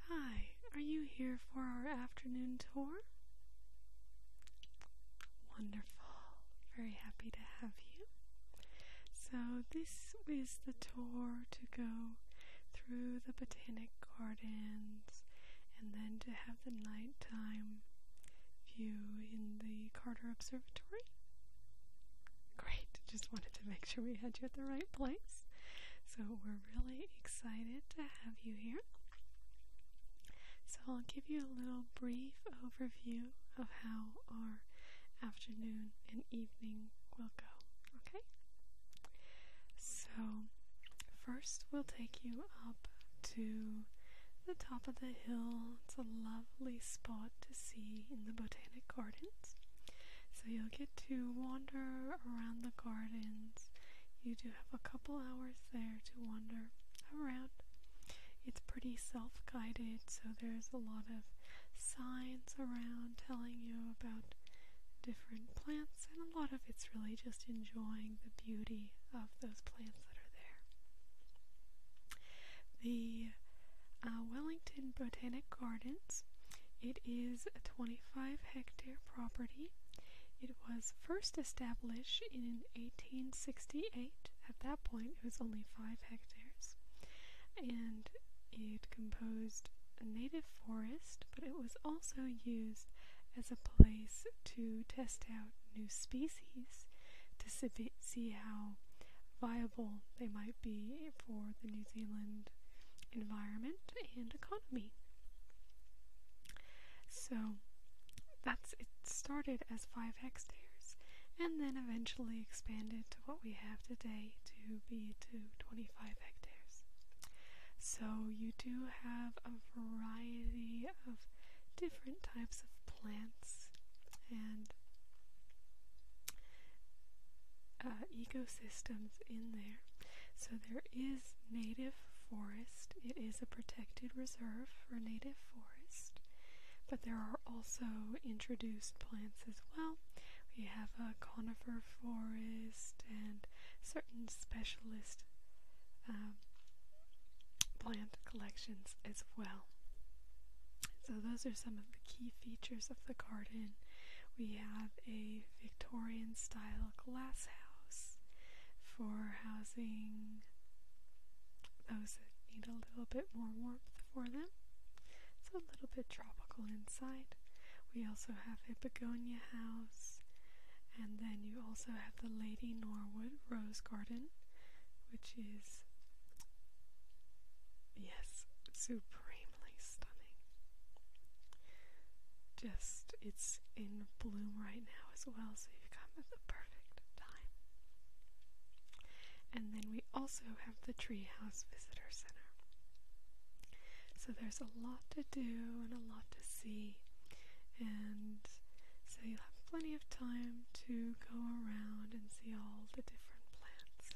Hi, are you here for our afternoon tour? Wonderful. Very happy to have you. So, this is the tour to go through the botanic gardens and then to have have the nighttime view in the Carter Observatory. Great, just wanted to make sure we had you at the right place. So we're really excited to have you here. So I'll give you a little brief overview of how our afternoon and evening will go, okay? So, first we'll take you up to the top of the hill. It's a lovely spot to see in the botanic gardens. So, you'll get to wander around the gardens. You do have a couple hours there to wander around. It's pretty self guided, so there's a lot of signs around telling you about different plants a lot of it's really just enjoying the beauty of those plants that are there. The uh, Wellington Botanic Gardens, it is a 25 hectare property. It was first established in 1868. At that point, it was only 5 hectares. And it composed a native forest, but it was also used as a place to test out new species to see how viable they might be for the New Zealand environment and economy. So that's it started as 5 hectares and then eventually expanded to what we have today to be to 25 25 hectares. So you do have a variety of different types of plants and uh, ecosystems in there. So there is native forest, it is a protected reserve for native forest, but there are also introduced plants as well we have a conifer forest and certain specialist um, plant collections as well. So those are some of the key features of the garden. We have a Victorian style glass house for housing those that need a little bit more warmth for them. It's a little bit tropical inside. We also have a begonia house, and then you also have the Lady Norwood Rose Garden, which is, yes, supremely stunning. Just, it's in bloom right now as well, so you've come at the perfect time. And then we also have the treehouse visitor center. So there's a lot to do and a lot to see, and so you'll have plenty of time to go around and see all the different plants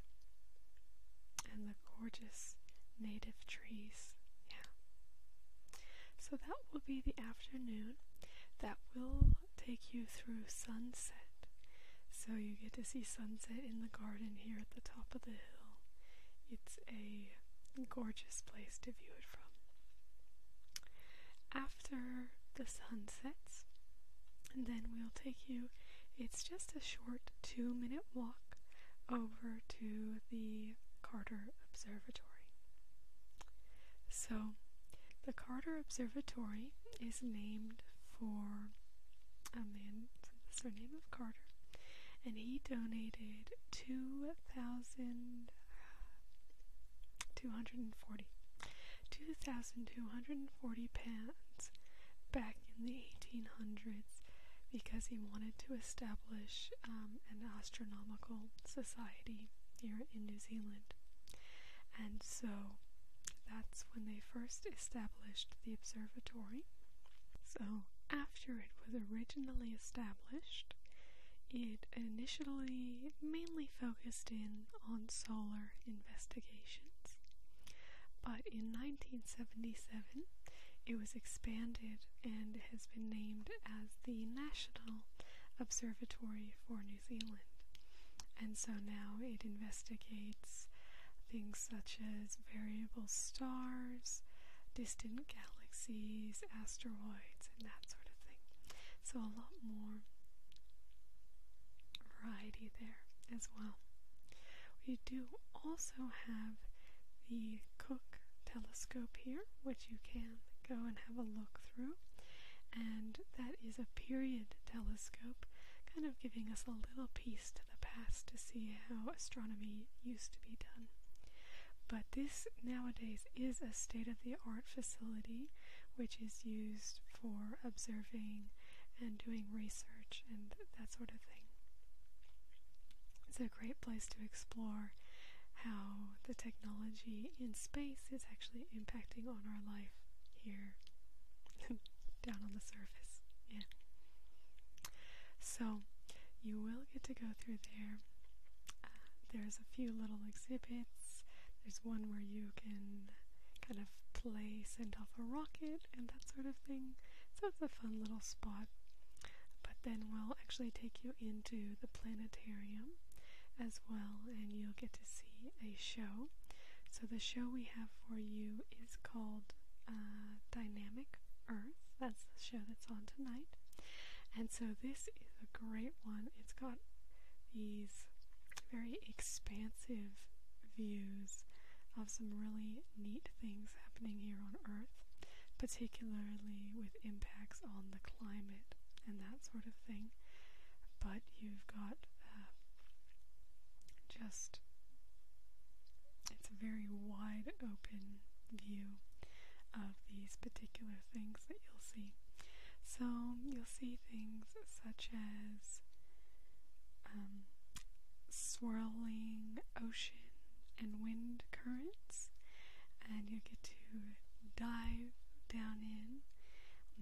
and the gorgeous native trees. Yeah. So that will be the afternoon. That will take you through sunset. So you get to see sunset in the garden here at the top of the hill. It's a gorgeous place to view it from. After the sun sets, and then we'll take you, it's just a short two minute walk over to the Carter Observatory. So the Carter Observatory is named for a man, the surname of Carter, and he donated 2,000. 2,240 pounds back in the 1800s because he wanted to establish um, an astronomical society here in New Zealand. And so that's when they first established the observatory. So, after it was originally established, it initially mainly focused in on solar investigations. But in 1977, it was expanded and has been named as the National Observatory for New Zealand. And so now it investigates things such as variable stars, distant galaxies, asteroids, and that sort of thing. So a lot more variety there as well. We do also have the Cook telescope here, which you can go and have a look through. And that is a period telescope, kind of giving us a little piece to the past to see how astronomy used to be done. But this nowadays is a state of the art facility which is used for observing and doing research and that sort of thing. It's a great place to explore how the technology in space is actually impacting on our life here down on the surface. Yeah. So you will get to go through there. Uh, there's a few little exhibits. There's one where you can kind of play, send off a rocket, and that sort of thing. So it's a fun little spot. But then we'll actually take you into the planetarium as well, and you'll get to see a show. So, the show we have for you is called uh, Dynamic Earth. That's the show that's on tonight. And so, this is a great one. It's got these very expansive views of some really neat things happening here on Earth particularly with impacts on the climate and that sort of thing. But you've got uh, just, it's a very wide open view of these particular things that you'll see. So you'll see things such as um, swirling ocean and wind currents and you get to dive down in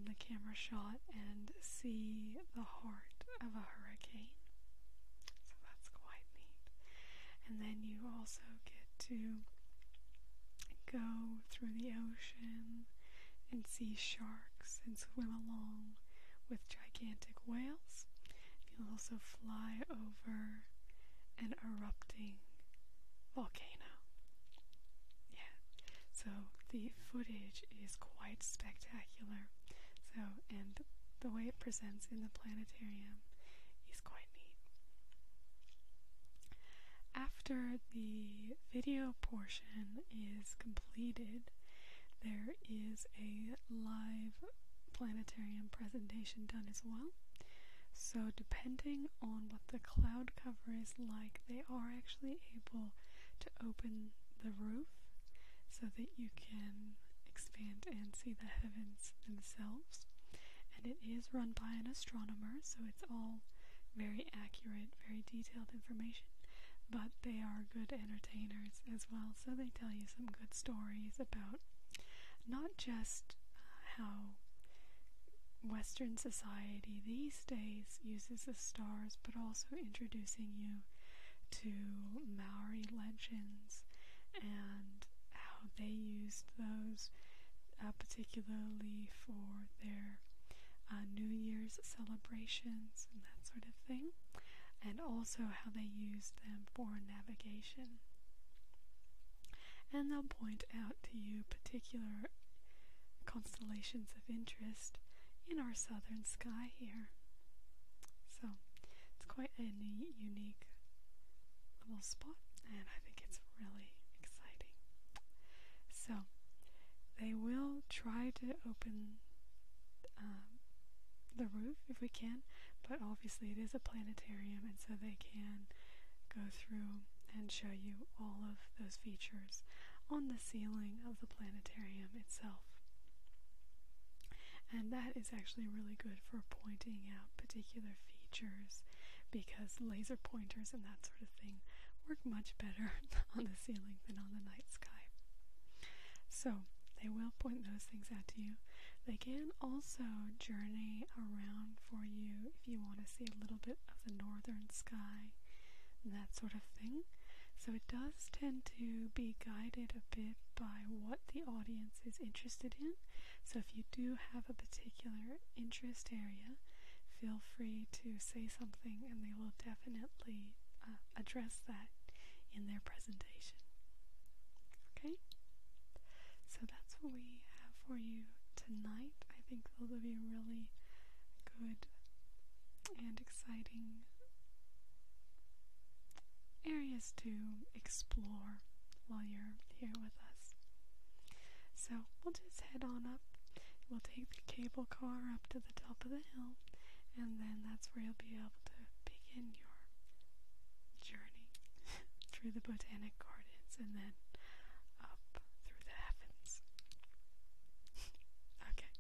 the camera shot and see the heart of a hurricane. So that's quite neat. And then you also get to go through the ocean and see sharks and swim along with gigantic whales You'll also fly over an erupting volcano. Yeah, so the footage is quite spectacular. So, and the way it presents in the planetarium is quite neat. After the video portion is completed, there is a live planetarium presentation done as well. So, depending on what the cloud cover is like, they are actually able to open the roof so that you can expand and see the heavens themselves. And it is run by an astronomer, so it's all very accurate, very detailed information. But they are good entertainers as well, so they definitely tell you some good stories about not just uh, how Western society these days uses the stars, but also introducing you to Maori legends and how they used those, uh, particularly for their uh, New Year's celebrations and that sort of thing, and also how they used them for navigation. And they'll point out to you particular constellations of interest in our southern sky here. So it's quite a unique little spot, and I think it's really exciting. So they will try to open um, the roof if we can, but obviously it is a planetarium and so they can go through and show you all of those features on the ceiling of the planetarium itself. And that is actually really good for pointing out particular features because laser pointers and that sort of thing work much better on the ceiling than on the night sky. So they will point those things out to you. They can also journey around for you if you want to see a little bit of the northern sky, and that sort of thing. So it does tend to be guided a bit by what the audience is interested in. So if you do have a particular interest area, feel free to say something and they will definitely uh, address that in their presentation. Okay? So that's what we have for you tonight. I think those will be really good and exciting areas to explore while you're here with us. So we'll just head on up. We'll take the cable car up to the top of the hill, and then that's where you'll be able to begin your journey through the botanic gardens and then up through the heavens. okay.